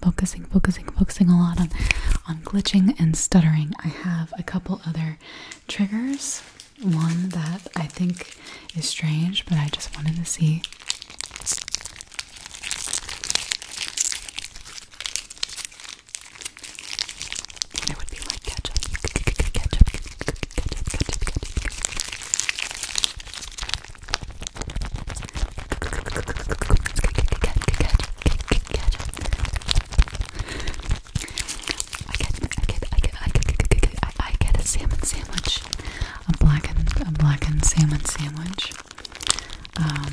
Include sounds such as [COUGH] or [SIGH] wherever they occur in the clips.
focusing, focusing, focusing a lot on, on glitching and stuttering. I have a couple other triggers. One that I think is strange, but I just wanted to see. I get a salmon sandwich, a blackened, a blackened salmon sandwich, um,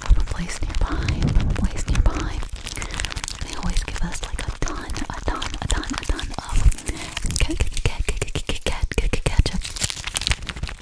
from a place nearby, from a place nearby. They always give us like a ton, a ton, a ton, a ton of ketchup, ketchup,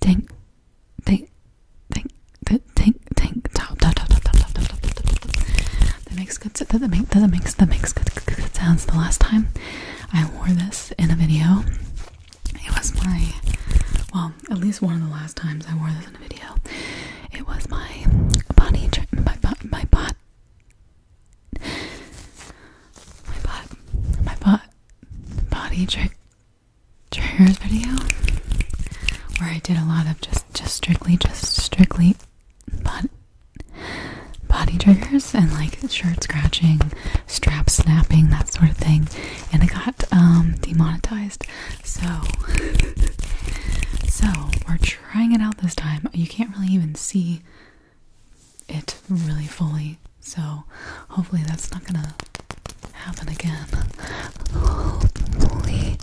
Tink, tink, tink, tink, tink, tink, top, top, top, top, top, top, top, top, top, top. That makes good. That makes that makes that makes good, good, good sounds. The last time I wore this in a video, it was my well, at least one of the last times I wore this in a video, it was my body my butt, my butt, my butt, my butt, body trick triggers video where I did a lot of just just strictly just strictly body, body triggers and like shirt scratching, strap snapping, that sort of thing. And it got um demonetized. So [LAUGHS] so we're trying it out this time. You can't really even see it really fully. So hopefully that's not gonna happen again. Hopefully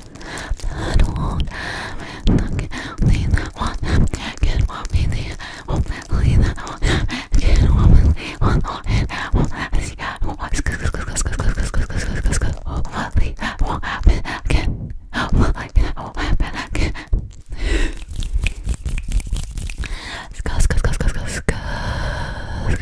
that won't happen. Hopefully that won't happen. Hopefully that won't happen. Hopefully that won't happen. Hopefully that won't happen. Hopefully that won't happen again. Hopefully that won't happen again. Let's go, let's go, let's go, let's go, let's go.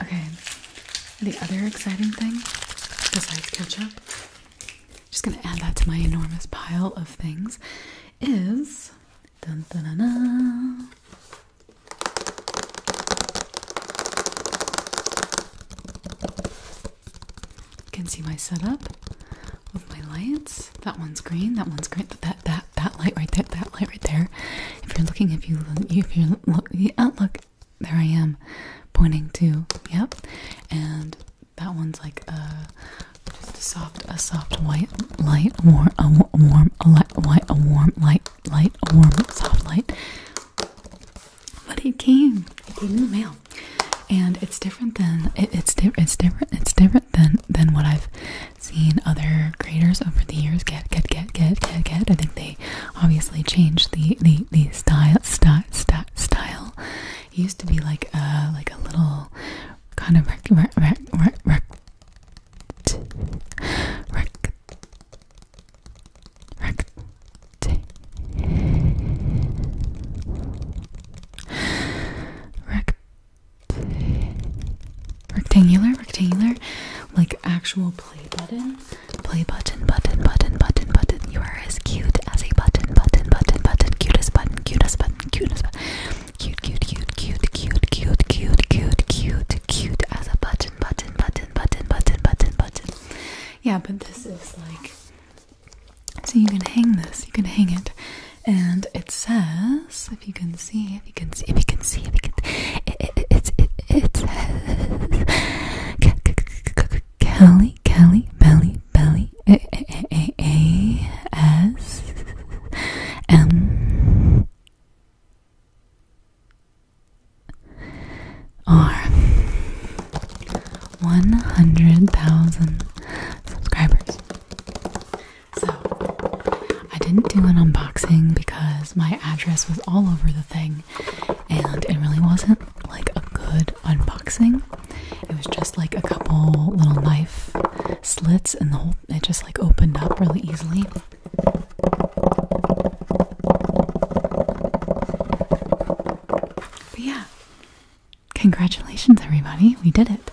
Okay, the other exciting thing, besides ketchup, just gonna add that to my enormous pile of things, is You can see my setup with my lights. That one's green, that one's green, but that that that light right there, that light right there. If you're looking, if you if you look, oh, look, there I am, pointing to yep, and that one's like a just a soft, a soft white light, warm, a warm, a light, white, a warm light, light, a warm, soft light. But it came, it came in the mail, and it's different than it's different, it's different, it's different than than what I've seen other graders over the years get, get, get, get, get, get. I think they obviously changed the the, the style style style used to be like a like a little kind of rec, rec, rec, rec, rec, rec, rec rectangular, rectangular, like actual play button, play button, button, button, button, button. You are as cute as a button, button, button, button, cutest button, cutest button, cutest button, cute, cute, cute, cute, cute, cute, cute, cute, cute, cute as a button, button, button, button, button, button, button. Yeah, but this is like so you can hang this, you can hang it, and it says if you can see, if you can see, if you can see, if you can it it it it, it says Kelly Kelly Belly Belly A A A A S M R one hundred thousand subscribers. So, I didn't do an unboxing because my address was all over the thing and it really wasn't like a good unboxing. It was just like a couple little knife slits and the whole it just like opened up really easily. But yeah. Congratulations everybody. We did it.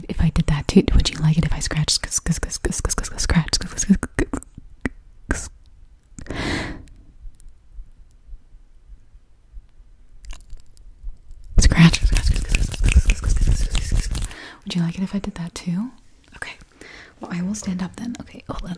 if I did that too, would you like it if I scratched scratch Scratch. Would you like it if I did that too? Okay. Well, I will stand up then. Okay, hold on.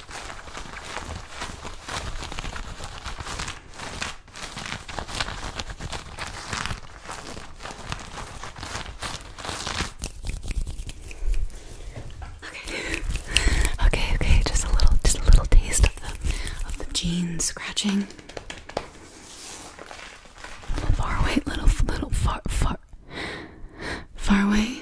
Okay. okay, [LAUGHS] okay, just a little just a little taste of the of the jean scratching. far away, little little far far far away.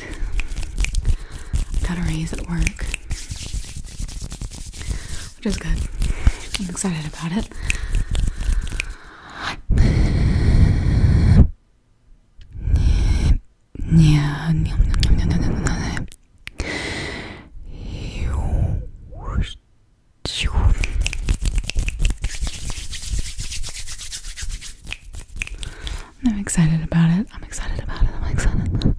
got a raise at work, which is good. I'm excited about it. I'm excited about it. I'm excited about it. I'm excited.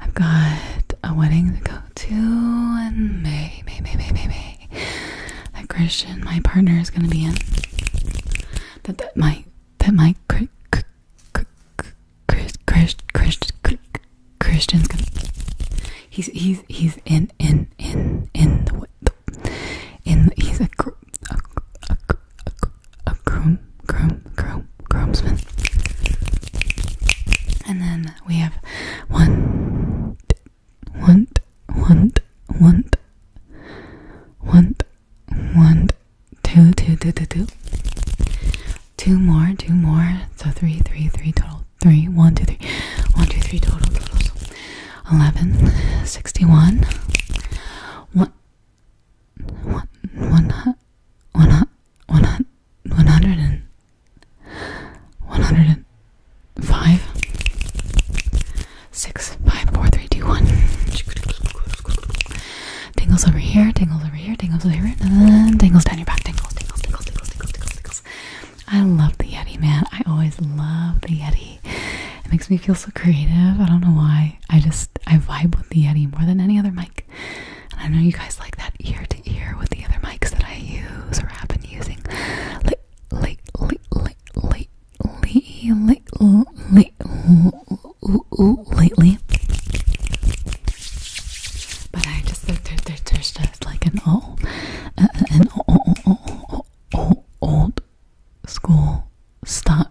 I've got a wedding to go to in May, May, May, May, May, May. That Christian, my partner, is gonna be in. That that my that my Chris Chris Chris Christian Christian's gonna. He's he's he's in in in in the, the in he's a a, a, a groom, groom, groom, groomsman. And then we have want, want, want, want, want, want, two, two, two, two, two. Two more, two more. So three, three, three total. Three, one, two, three, one, two, three total totals. Eleven, sixty-one, one, one, one, one, one, one hundred and one hundred and five six five four three two one tingles over here tingles over here tingles over here and tingles down your back tingles tingles tingles tingles tingles tingles tingles I love the Yeti man I always love the Yeti it makes me feel so creative. I don't know why. I just I vibe with the Eddie more than any other mic. And I know you guys like that ear to ear with the other mics that I use or have been using. Like like lately but I just there's just like an old uh, an old, old school style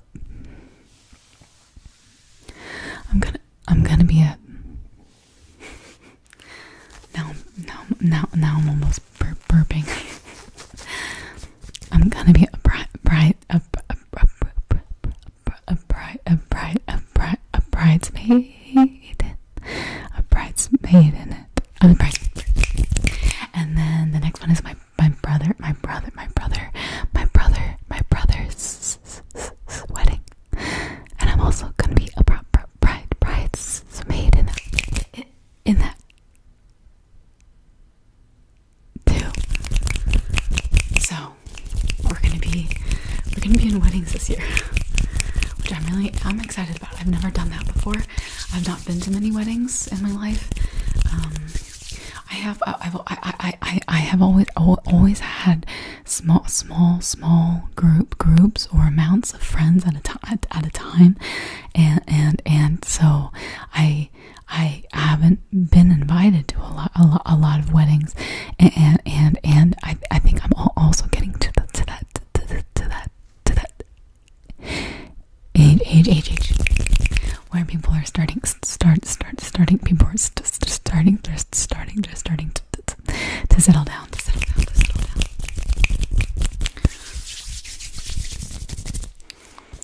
up. I'm gonna I'm gonna be a now now now now I'm almost bur burping. I'm gonna be a bright bright a a a a bright a bright a bright a bridesmaid a bridesmaid in it. I'm a bride. And then the next one is my my brother, my brother, my brother, my brother, my brother's wedding. And I'm also gonna be a bride, bride's maid in that, in that too. So we're gonna be, we're gonna be in weddings this year, which I'm really, I'm excited about. I've never done that before. I've not been to many weddings in my life. Um, I have I've, I, I, I have always always had small small small group groups or amounts of friends at a time at a time and and and so I I haven't been invited to a lot a lot, a lot of weddings and and and, I, I think I'm also getting to the, that to that to that Age, age, age, age. Where people are starting, start, start, starting. People are st st starting, just starting, just starting to, to, to settle down, to settle down, to settle down.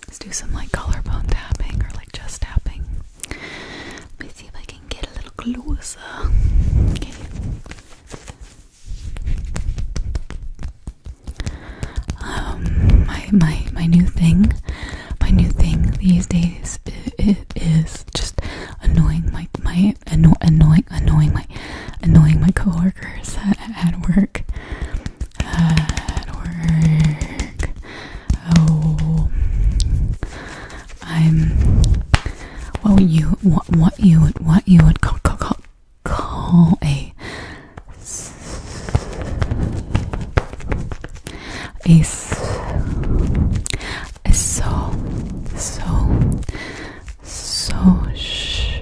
Let's do some like collarbone tapping or like chest tapping. Let me see if I can get a little closer. Okay. Um, my my my new thing, my new thing these days is, just annoying my my anno annoying annoying my annoying my coworkers at work. At work, oh, I'm. What you what what you would what you would call call call a a a so so so sh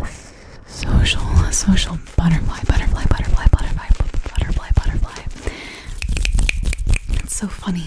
a social a social butterfly butterfly butterfly butterfly butterfly butterfly it's so funny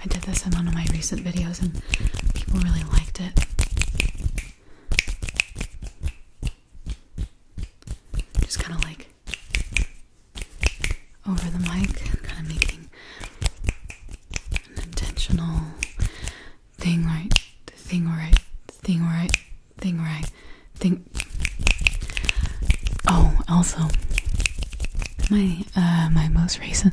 I did this in one of my recent videos and people really liked it. Just kind of like over the mic and kind of making an intentional thing right, thing right, thing right, thing right, thing. Oh, also my uh, my most recent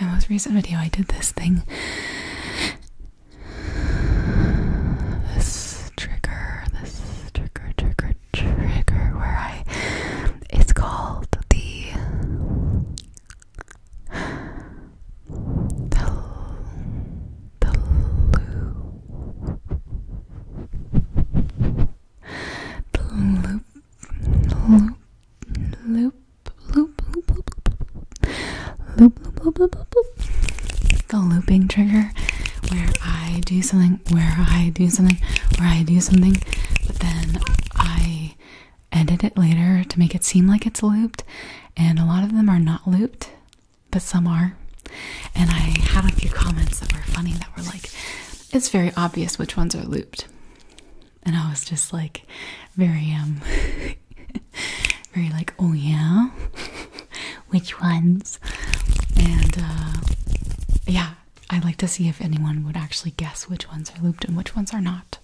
My most recent video, I did this thing. This trigger, this trigger, trigger, trigger, where I. It's called the. The. The. Loop. loop. Loop. Loop. The looping trigger, where I do something, where I do something, where I do something, but then I edit it later to make it seem like it's looped. And a lot of them are not looped, but some are. And I had a few comments that were funny that were like, it's very obvious which ones are looped and I was just like very um very like oh yeah which ones and uh yeah I would like to see if anyone would actually guess which ones are looped and which ones are not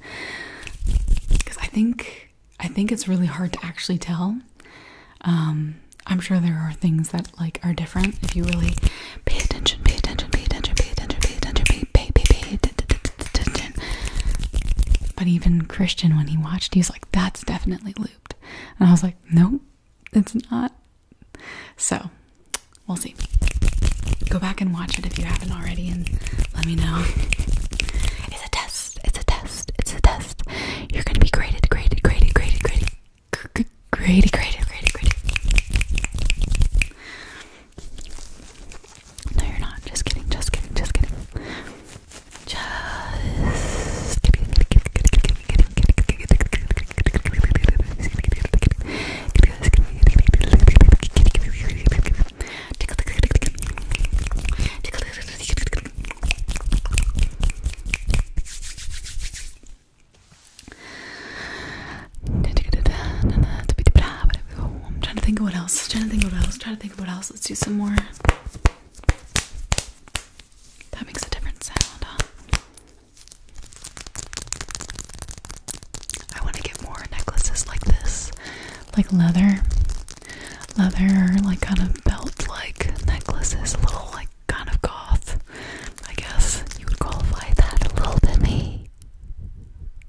because I think I think it's really hard to actually tell um I'm sure there are things that like are different if you really pay attention pay attention pay attention pay attention pay attention pay pay pay pay [LAUGHS] But even Christian, when he watched, he's like, that's definitely looped. And I was like, nope, it's not. So we'll see. Go back and watch it if you haven't already and let me know. It's a test. It's a test. It's a test. You're going to be graded, graded, graded, graded, graded, graded, graded, graded, graded. No, you're not. Just kidding. Just kidding. Just kidding. Just kidding. I'm trying to think of what else. I'm trying to think of what else. I'm trying to think of what else. Let's do some more. That makes a different sound, I want to get more necklaces like this, like leather, leather, like kind of belt-like necklaces, a little like kind of goth. I guess you would qualify that a little bit, me.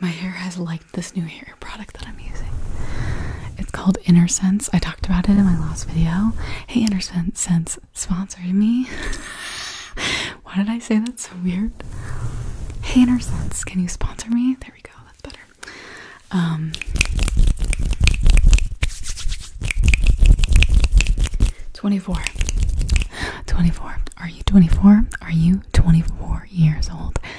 my hair has liked this new hair product that I'm using. It's called Inner Sense. I talked about it in my last video. Hey, Inner Sense, sponsor me. [LAUGHS] Why did I say that so weird? Hey, Inner Sense, can you sponsor me? There we go. That's better. Um, twenty-four. Twenty-four. Are you twenty-four? Are you twenty-four years old?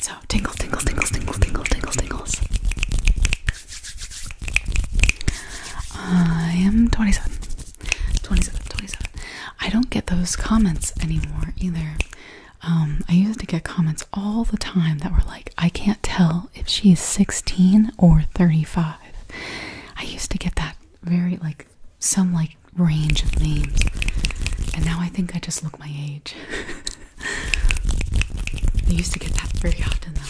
So tingle, tingle, tingle, tingle, tingle, tingle, tingle. I am 27. 27, 27. I don't get those comments anymore either. Um, I used to get comments all the time that were like, I can't tell if she's 16 or 35. I used to get that very, like, some like range of names. And now I think I just look my age. [LAUGHS] I used to get that very often though.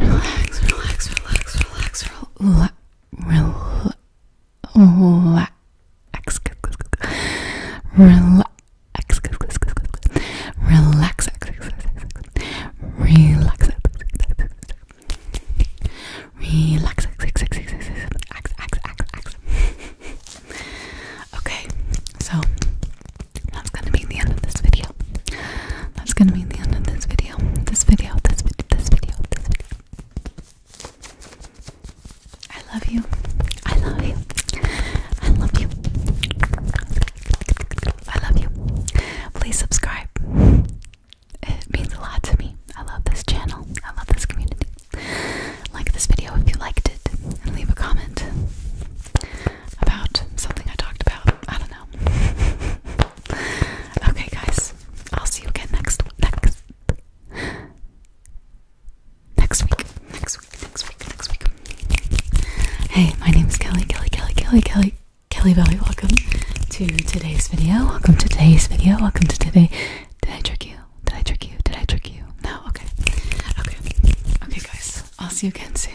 Relax, relax, relax, relax, relax. Rel relax, relax, relax, relax, relax, relax, Okay, so that's gonna be the end of this video. That's gonna be the end of this video video, this video, this video, this video, this video. I love you. I love you. I love you. I love you. Please subscribe. It means a lot to me. I love this channel. I love this community. Like this video if you liked it and leave a comment about something I talked about. I don't know. [LAUGHS] Okay, guys, I'll see you again next next next week. Next week. Next week. Next week. Hey, my name is Kelly. Kelly. Kelly. Kelly. Kelly. Kelly Valley. Welcome to today's video. Welcome to today's video. Welcome to today. Did I trick you? Did I trick you? Did I trick you? No. Okay. Okay. Okay, guys. I'll see you again soon.